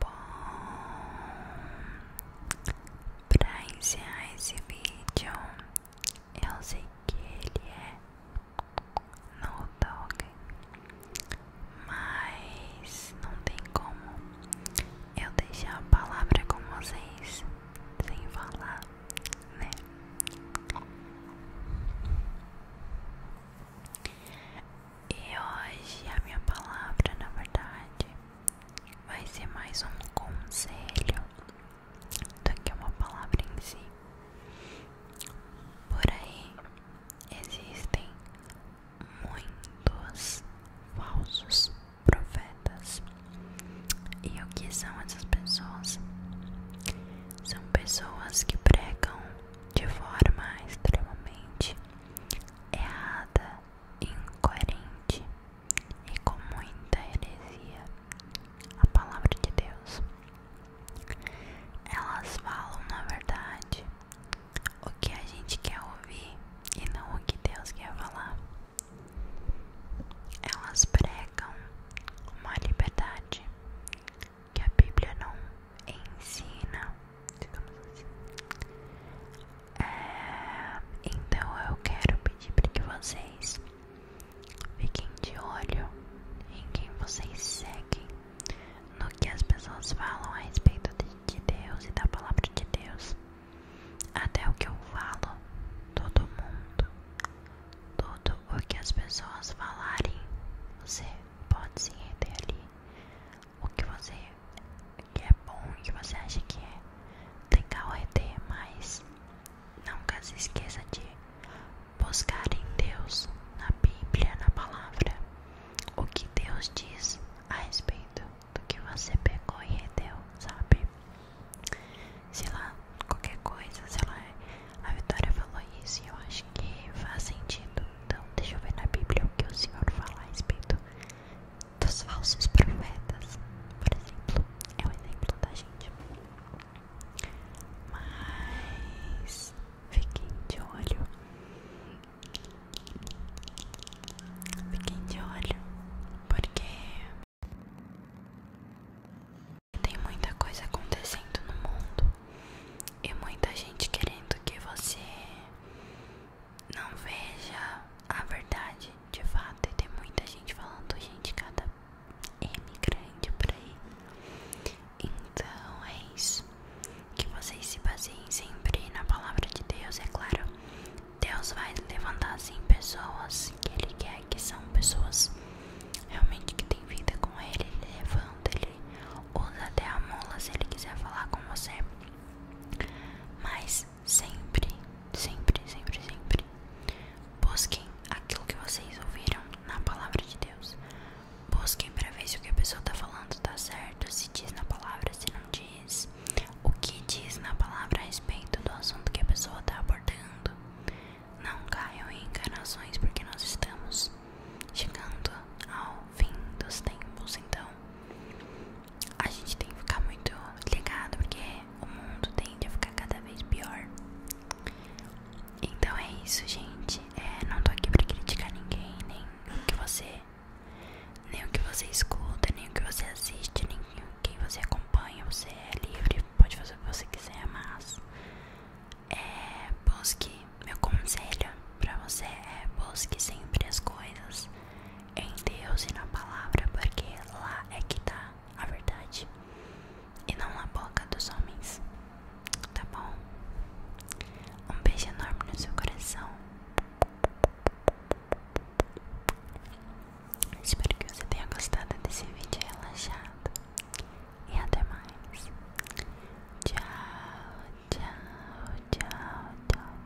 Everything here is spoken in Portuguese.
Bom, pra encerrar esse vídeo, eu sei que ele é no dog, mas não tem como eu deixar a palavra com vocês sem falar, né? E hoje a minha palavra, na verdade, vai ser mais um conselho do que uma palavra em si. Por aí existem muitos falsos profetas. E o que são essas pessoas? São pessoas que pregam de forma extremamente errada, incoerente e com muita heresia a palavra de Deus. Elas falam, na verdade, o que a gente quer ouvir e não o que Deus quer falar. Elas pregam uma liberdade que a Bíblia não ensina, assim. é, então eu quero pedir para que vocês fiquem de olho em quem vocês seguem, no que as pessoas falam a respeito de Deus e da palavra de Deus. Até o que eu falo, todo mundo tudo o que as pessoas falarem, você pode se render ali. O que você que é bom, o que você acha que é legal reter, mas nunca se esqueça de buscar em Deus, na Bíblia, na palavra, o que Deus diz a respeito do que você pegou e reteu, sabe? sei lá, qualquer coisa, sei lá, a Vitória falou isso e eu acho que faz sentido. Então, deixa eu ver na Bíblia o que o Senhor fala a respeito dos falsos profetas, por exemplo. É um exemplo da gente. Mas fiquem de olho. Fiquem de olho, porque tem muita coisa acontecendo no mundo e muita gente querendo que você não veja a verdade de fato. E tem muita gente falando, gente, cada M grande por aí. Então é isso. Que vocês se baseiem sempre na palavra de Deus, é claro. Deus vai levantar assim pessoas que Ele quer que são pessoas realmente que têm vida com ele, ele levanta, ele usa até a mola se ele quiser falar com você. Mas sempre, sempre, sempre, sempre busquem aquilo que vocês ouviram na palavra de Deus. Busquem para ver se o que a pessoa está falando está certo, se diz na palavra, se não diz, o que diz na palavra a respeito do assunto que a pessoa está abordando. Não caiam em encarnações porque nós estamos chegando ao fim dos tempos. Então, a gente tem que ficar muito ligado, porque o mundo tende a ficar cada vez pior. Então é isso, gente. É, não tô aqui pra criticar ninguém, nem o que você, nem o que você escuta, nem o que você assiste, quem você acompanha, você é livre, pode fazer o que você quiser, mas é, busque, meu conselho pra você é busque sempre as coisas em Deus e na palavra, porque lá é que tá a verdade e não na boca dos homens, tá bom? Um beijo enorme no seu coração. Espero que você tenha gostado desse vídeo relaxado. E até mais. Tchau, tchau, tchau, tchau.